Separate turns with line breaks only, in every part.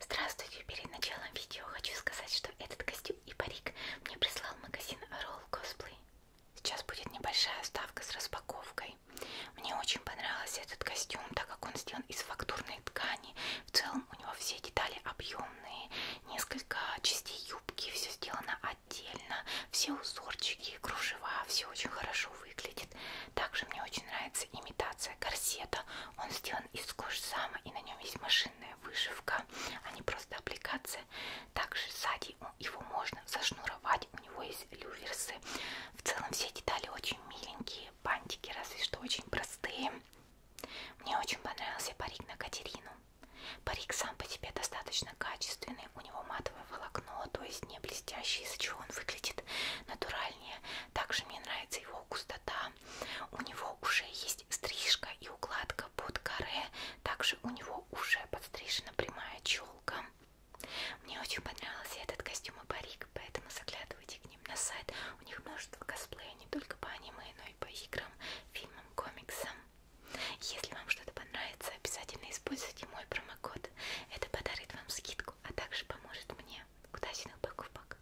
Здравствуйте! Перед началом видео хочу сказать, что этот костюм и парик мне прислал магазин Roll Cosplay. Сейчас будет небольшая ставка с распаковкой. Мне очень понравился этот костюм, так как он сделан из фактурной ткани. В целом у него все детали объемные, несколько частей юбки, все сделано отдельно, все узорчики, кружева, все очень хорошо выглядит. Также мне очень нравится имитация корсета. Он сделан сделан из кожзама и на нем есть машинная вышивка, а не просто аппликация. Также сзади его можно зашнуровать, у него есть люверсы. В целом все детали очень миленькие, бантики разве что очень простые. Мне очень понравился парик на Катерину. Парик сам по себе достаточно качественный, у него матовое волокно, то есть не блестящий, из-за чего он выглядит натуральнее. Также мне нравится его густота, у него уже есть стрижка и укладка под каре. Также у него уже подстрижена прямая челка. Мне очень понравился этот костюм и парик, поэтому заглядывайте к ним на сайт. У них множество косплея не только по аниме, но и по играм, фильмам, комиксам. Если вам что-то понравится, обязательно используйте мой промокод. Это подарит вам скидку, а также поможет мне. Удачных покупок!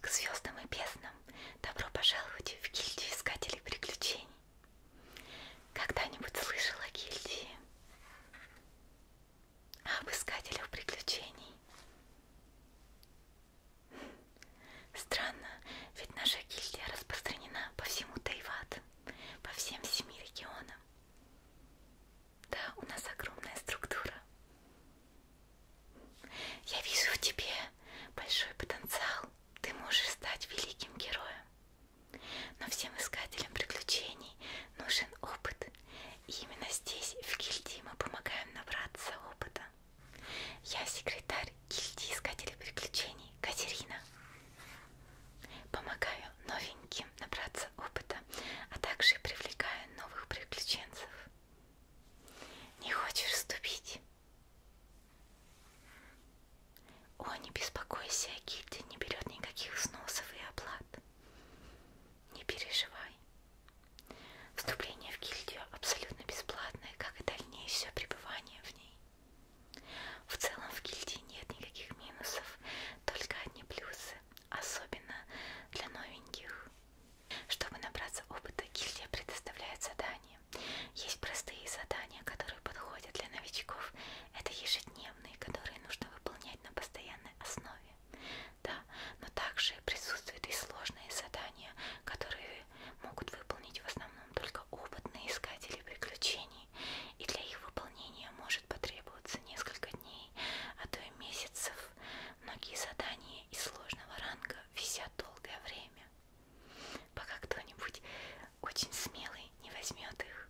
К звездам и безднам добро пожаловать в гильдию искателей приключений. Когда-нибудь слышала гильдии об искателях приключений? Странно, ведь наша гильдия распространена по всему Тайват, по всем семи регионам. Да, у нас огромная структура. Я вижу в тебе большой потенциал. Ты можешь стать великим героем. Но всем искателям приключений нужен опыт. И именно здесь, в гильдии, мы помогаем набраться опыта. Я секретарь гильдии искателей приключений Катерина. Помогаю новеньким набраться опыта, а также привлекаю новых приключенцев. Не хочешь вступить? О, не беспокойся, гильдия не берет никаких взносов и оплат. Не переживай. Вступление в гильдию абсолютно бесплатное, как и дальнейшее пребывание в ней. В целом в гильдии нет никаких минусов, только одни плюсы, особенно для новеньких. Чтобы набраться опыта, гильдия предоставляет задания. Есть простые задания, которые подходят для новичков. Это ежедневные, которые нужно выполнять на постоянной основе да, но также присутствуют и сложные задания, которые могут выполнить в основном только опытные искатели приключений, и для их выполнения может потребоваться несколько дней, а то и месяцев. Многие задания из сложного ранга висят долгое время, пока кто-нибудь очень смелый не возьмет их.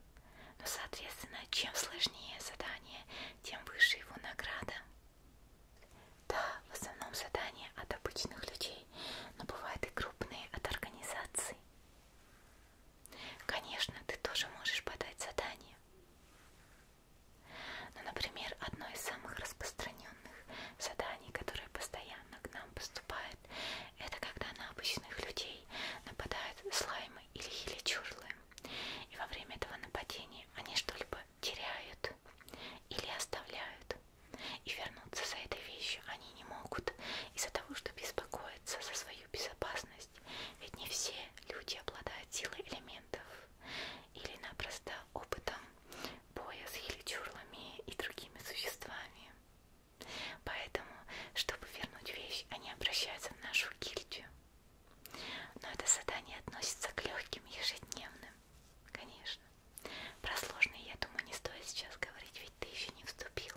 Но, соответственно, чем сложнее задание, тем выше его награда. Да, в основном задания от обычных людей, но бывают и крупные от организаций. Конечно, ты тоже можешь подать задание. Но, ну, например, одно из самых распространенных заданий, которые постоянно к нам поступают, это когда на обычных людей нападают слаймы или хиличурлы. И во время этого нападения они что-либо теряют или оставляют. И вернуться за этой вещью они не могут из-за того, что беспокоятся за свою безопасность. Ведь не все люди обладают силой элементов или напросто опытом боя с хиличурлами и другими существами. Поэтому, чтобы вернуть вещь, они обращаются в нашу гильдию. Но это задание относится к легким ежедневным, конечно. Про сложные, я думаю, не стоит сейчас говорить, ведь ты еще не вступил.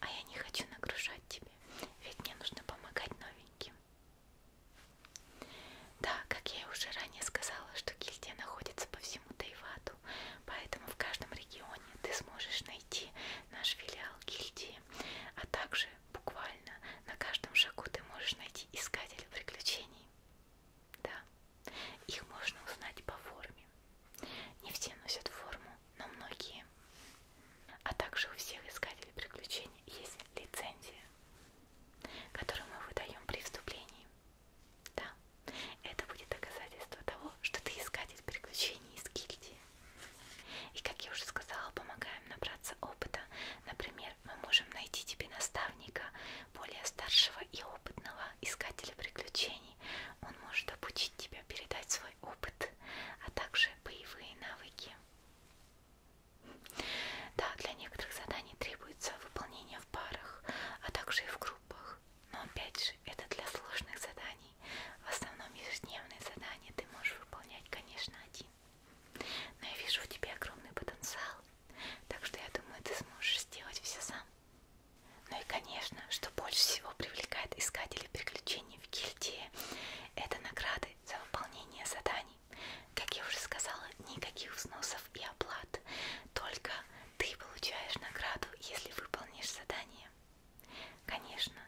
А я не хочу нагружать тебя, ведь мне нужно помогать новеньким. Да, как я уже ранее сказала, что гильдия находится по всему Тайвату, поэтому в каждом регионе ты сможешь найти наш филиал гильдии, а также буквально на каждом шагу ты можешь найти искателя приключений они. Да. Их можно узнать по форме. Не все носят форму, но многие. А также у всех искателей приключений есть лицензия, которую мы выдаем при вступлении. Да, это будет доказательство того, что ты искатель приключений из гильдии. И как я уже сказала, помогаем набраться опыта, например, например, мы можем найти тебе наставника более старшего и опытного искателя приключений. Он может обучить тебя передать свой опыт, а также боевые навыки. Да, для некоторых заданий требуется выполнение в парах, а также и в группах. Но опять же, это для сложных заданий. В основном ежедневные задания ты можешь выполнять, конечно, один. Но я вижу в тебе огромный потенциал, так что я думаю, ты сможешь сделать все сам. Ну и, конечно, что больше всего привлекает искателей приключений в гильдии, это награды за выполнение заданий. Как я уже сказала, никаких взносов и оплат, только ты получаешь награду, если выполнишь задание. Конечно,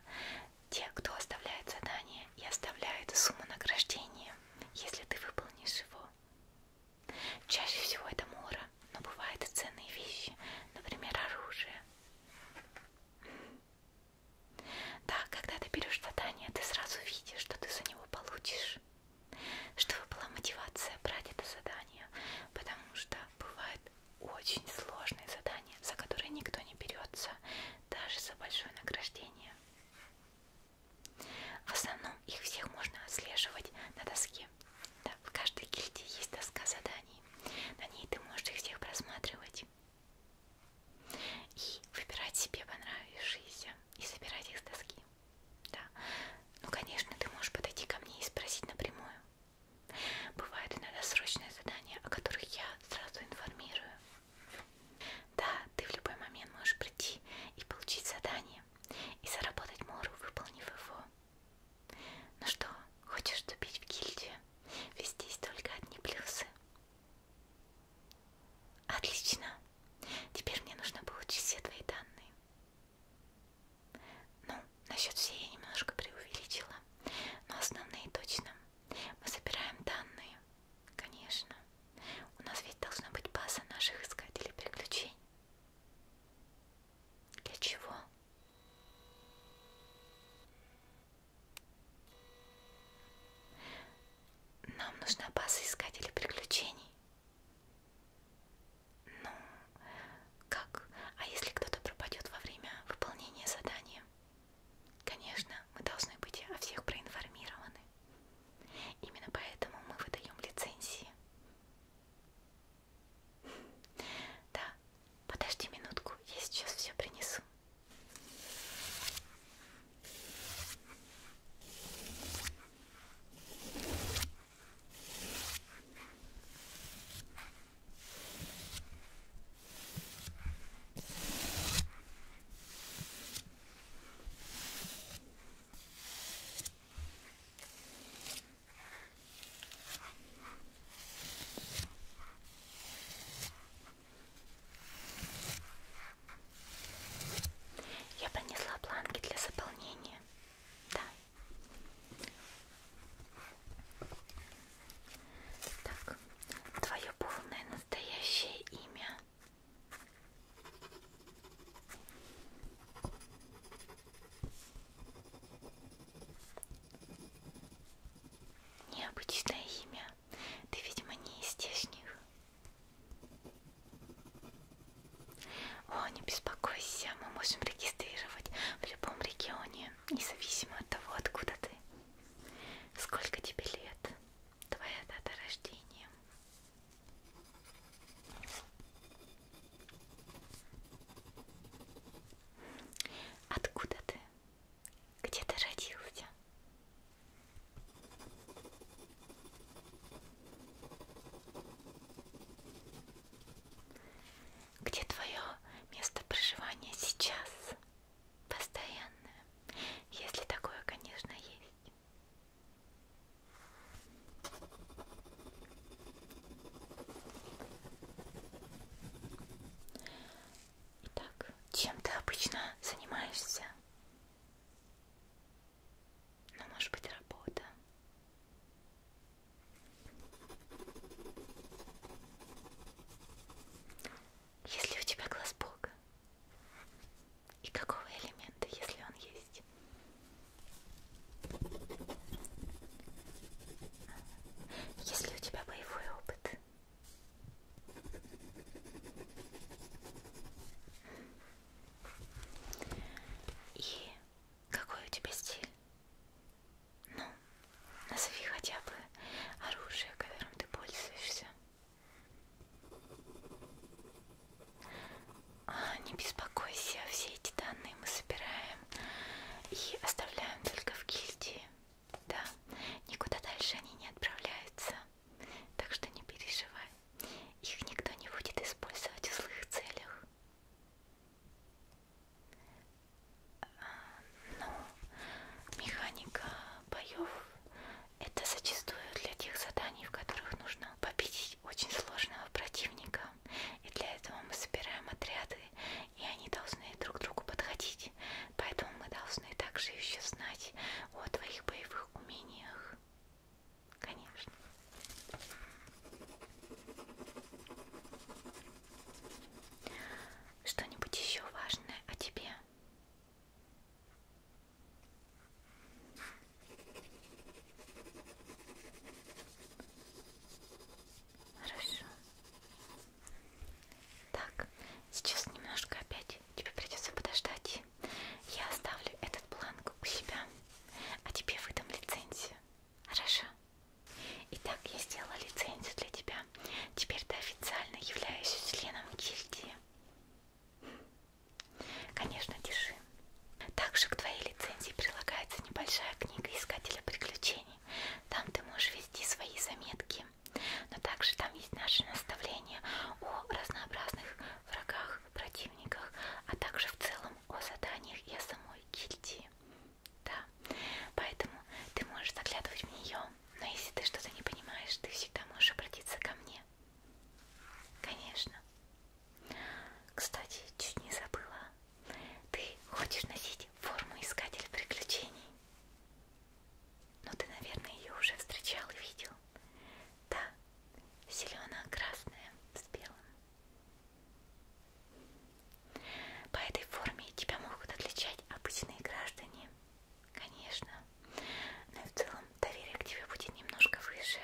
те, кто оставляет задание и оставляет сумму награждения, если ты выполнишь его. Чаще всего это мора, но бывают и ценные вещи, например, оружие. Да, когда ты берешь задание, ты сразу видишь, что ты за него получишь. Чтобы была мотивация брать это задание, потому что бывают очень сложные задания, за которые никто не берется, даже за большое награждение. В основном их всех можно отслеживать на доске. Да, в каждой гильдии есть доска заданий. На ней ты можешь их всех просматривать и выбирать себе понравившиеся и собирать их с доски. Да. Ну, конечно, ты можешь подойти ко мне и спросить напрямую. Бывают иногда срочные задания, о которых я сразу информирую. Да, ты в любой момент можешь прийти и получить задание, и заработать мору, выполнив его. Ну что, хочешь вступить в гильдию? Ведь здесь только одни плюсы. Отлично. Теперь мне нужно получить все твои данные. Ну, насчет все я немножко преувеличила, но основные точно. Мы собираем данные Конечно. У нас ведь должна быть база наших искателей приключений. Для чего? Нам нужна база искателей приключений. Ну, как? А если кто-то пропадет во время выполнения задания? Конечно, мы должны быть о всех проинформированы. Именно поэтому мы выдаем лицензии. Да, подожди минутку, я сейчас все принесу. Я принесла планки для заполнения. Да. Так, твое полное настоящее имя. Необычное имя. Ты, видимо, не из здешних. О, не беспокойся, мы можем регистрировать в любом регионе, независимо от того, откуда ты. Сколько тебе лет? Твоя дата рождения. Откуда ты? Где ты родился? Где твое место проживания сейчас? Постоянное. Если такое, конечно, есть. Итак, чем ты обычно занимаешься? Ну, может быть, работа. Если у тебя глаз Бога, и какого элемента, если он есть? Если у тебя боевой опыт. И какой у тебя стиль? Ну, назови хотя бы оружие, которым ты пользуешься. А, не беспокойся, все эти данные мы собираем и оставляем только в гильдии. Да, никуда дальше они не отправляются, так что не переживай. Их никто не будет использовать в злых целях. А, ну, механика боев это зачастую для тех заданий, в которых нужно победить очень сложного противника. И для этого мы собираем отряды, и они должны друг к другу подходить. Поэтому мы должны также еще знать о твоих боевых умениях. Конечно. Что-нибудь еще важное о тебе? Хорошо. Так, сейчас немножко опять тебе придется подождать. Я оставлю этот бланк у себя, а тебе выдам лицензию. Хорошо? Итак, я сделала лицензию для тебя. Теперь ты официально являешься членом гильдии. Конечно, держи. Также к твоей лицензии прилагается небольшая книга искателя приключений. Там ты можешь вести свои заметки. Но также там есть наши наставления о разнообразных врагах, противниках, а также в целом о заданиях и о самой гильдии. Да, поэтому ты можешь заглядывать в нее, но если ты что-то не понимаешь, ты всегда можешь обратиться ко мне. Конечно. Кстати, чуть не забыла. Ты хочешь носить форму искателя приключений? Ну, ты, наверное, ее уже встречал и видел. Да, зелено-красная с белым. По этой форме тебя могут отличать обычные граждане Конечно. Но и в целом доверие к тебе будет немножко выше,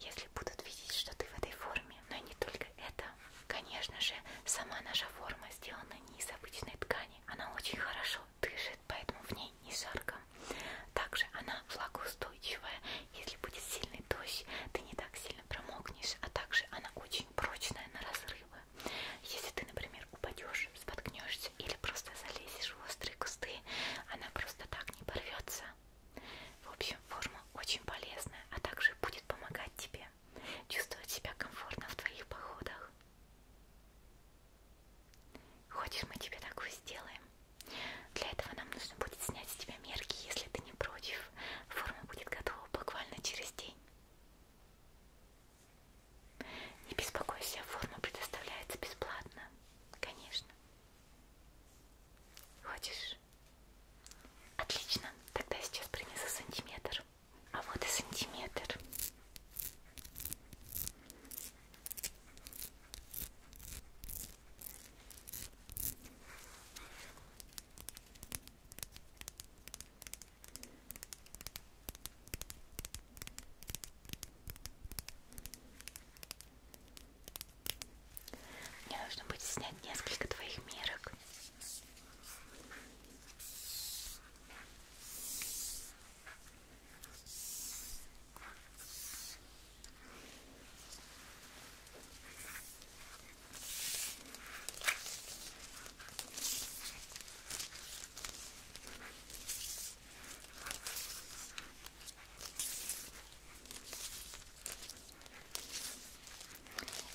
если будут видеть, что ты в этой форме. Но и не только это. Конечно же, сама наша форма сделана не из обычной ткани. Она очень хорошо дышит, поэтому в ней не жарко. Также она влагоустойчивая. Если будет сильный дождь, ты не так сильно промокнешь. А также она очень прочная на разрывы. Если ты, например, упадешь можем споткнешься или просто залезешь в острые кусты, она просто так не порвется. В общем, форма очень полезная, а также будет помогать тебе чувствовать себя комфортно в твоих походах. Хочешь, мы тебе такую сделаем? Для этого нам нужно будет снять с тебя мерки, если ты не против. Форма будет готова буквально через день. Не беспокойся, форма предоставляется бесплатно. Конечно. Хочешь? Отлично. Тогда я сейчас принесу сантиметр. А вот и сантиметр. Мне нужно будет снять несколько твоих мерок.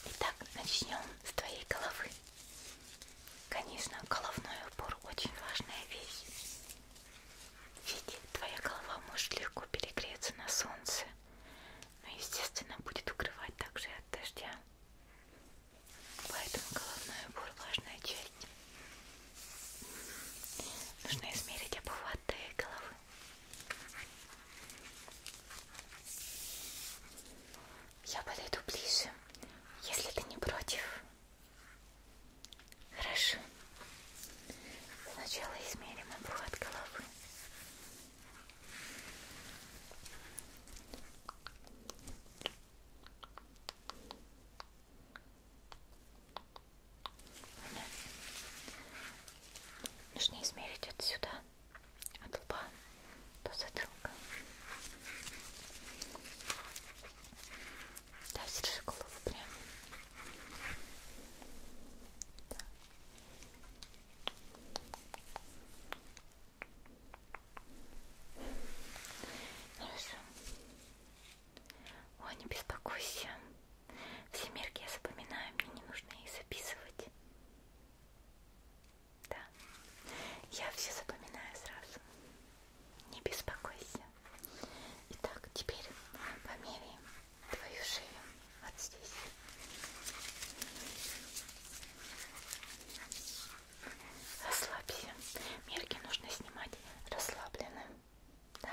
Итак, начнем с твоей головы. Конечно, головной убор очень важная вещь. Ведь твоя голова может легко перегреться на солнце, но, естественно, будет укрывать также и от дождя. Поэтому головной убор важная часть Нужно измерить обхват головы. Я подойду ближе, если ты не против. Хорошо. Сначала измерим обхват головы. Мне нужно измерить отсюда, от лба до затылка. Да, держи голову прям. Да. Хорошо. Ой, не беспокойся. Все мерки я запоминаю, мне не нужно их записывать. Да. Я все запоминаю сразу. Не беспокойся. Итак, теперь померяем твою шею вот здесь. Расслабься. Мерки нужно снимать расслабленным. Да,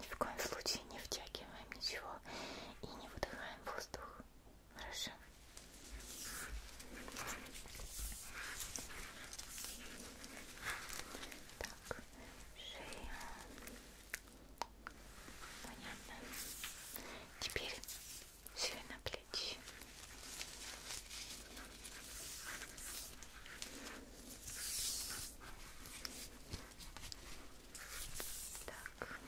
ни в коем случае не втягиваем ничего и не выдыхаем воздух. Хорошо. Так, шея. Понятно. Теперь ширина плеч. Так.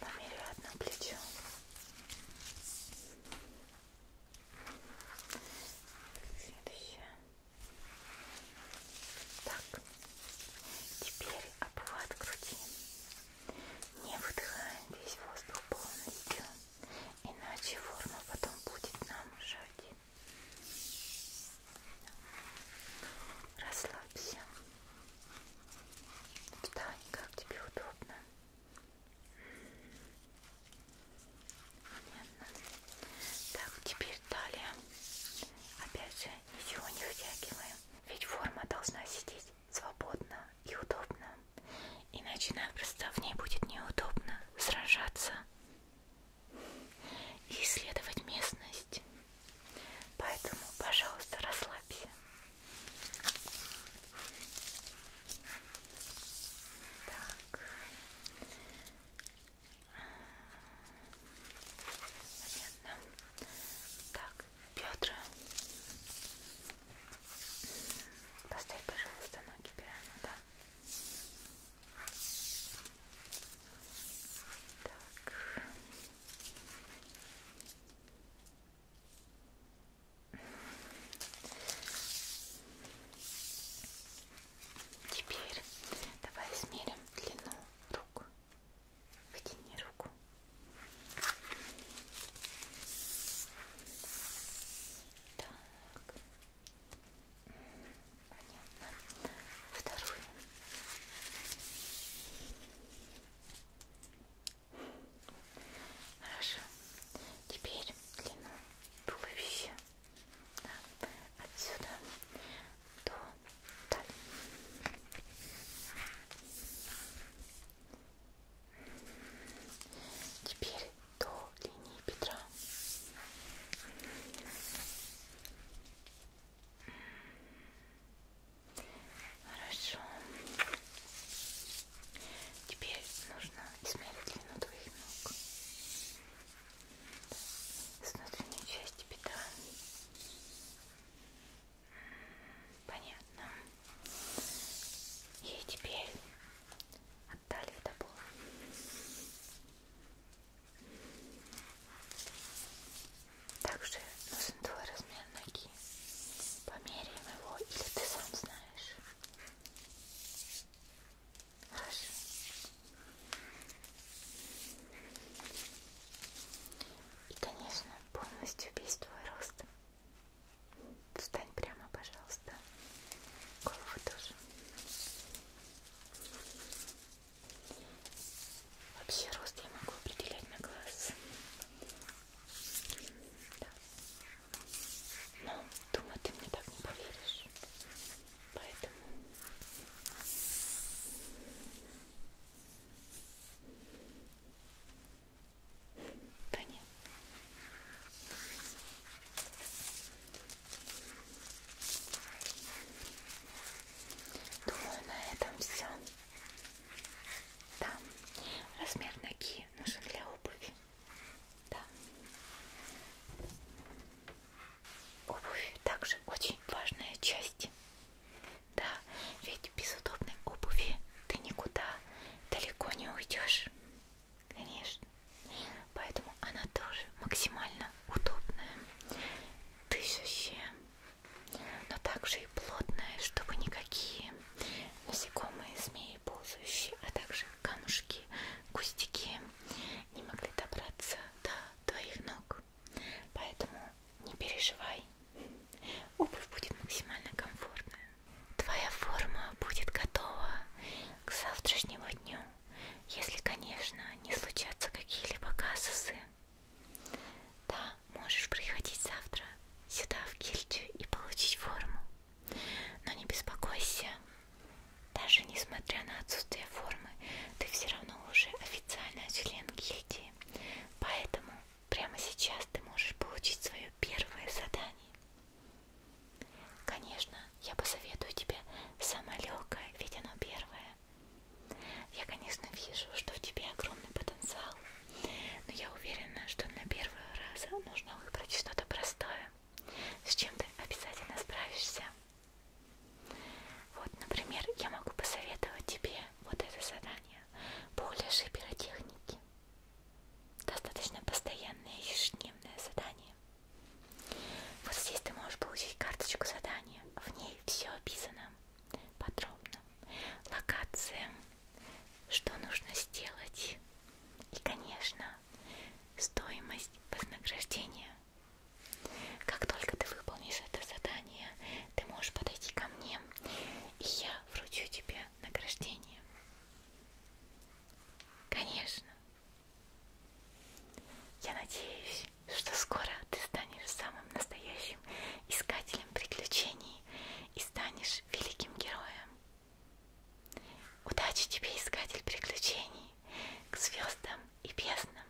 Померяю одно плечо. Следующее. Так. Теперь обхват груди. Не выдыхаем весь воздух полностью. Иначе форма потом будет нам жать. Расслабься. Встань, как тебе удобно. Понятно. Так, теперь талия. Опять же, ничего не вытягиваем. Ведь форма должна сидеть свободно и удобно. Иначе напросто в ней будет неудобно сражаться и исследовать местность. Поэтому, пожалуйста, расслабься. Так. Понятно. Так, Петр, Поставь, пожалуйста, ноги прямо, да? Так. Теперь давай измерим длину рук. Вытяни руку. Так. Понятно. Вторую. Хорошо. Теперь длину туловища. Да. Отсюда до талии. Теперь до линии бедра. Хорошо. Теперь нужно измерить длину твоих ног. С внутренней части бедра. Понятно. И теперь отдали до пола. Также нужен твой размер ноги. Померяем его, или ты сам знаешь. Хорошо. И, конечно, полностью весь твой рост. Встань прямо, пожалуйста. Голову тоже. Вообще рост я могу определять на глаз. Да. Но, думаю, ты мне так не поверишь. Поэтому... Понятно. Думаю, на этом все. Да. Размер ноги нужен для обуви. Да. Обувь также очень важная часть. Да, ведь без удобной обуви ты никуда далеко не уйдешь конечно. Поэтому она тоже максимально удобная, дышащая, но также и плотная, чтобы никакие насекомые, змеи, ползающие, а также камушки, кустики не могли добраться до твоих ног. Поэтому не переживай, обувь будет максимально комфортная. Твоя форма будет готова к завтрашнему дню, если, конечно, не случатся какие-либо казусы. Да, можешь приходить завтра сюда в гильдию и получить форму. Но не беспокойся, даже несмотря на отсутствие формы, ты все равно уже официально член гильдии. Поэтому прямо сейчас ты можешь получить свое первое задание. Конечно, я посоветую тебе самое легкое, ведь оно первое. Я, конечно, вижу, что в тебе огромный потенциал, но я уверена, что на первый раз нужно выбрать что-то простое, с чем ты обязательно справишься. Вот, например, я могу посоветовать тебе вот это задание по лешибиротехнике. Достаточно постоянное ежедневное задание. Вот здесь ты можешь получить карточку задания. В ней все описано подробно. Локация, что нужно сделать. И, конечно, стоимость вознаграждения. Как только ты выполнишь это задание, ты можешь подойти ко мне, и я вручу тебе награждение. Конечно. Я надеюсь, что скоро ты станешь самым настоящим искателем приключений и станешь великим героем. Удачи тебе, искатель приключений, к звездам и безднам.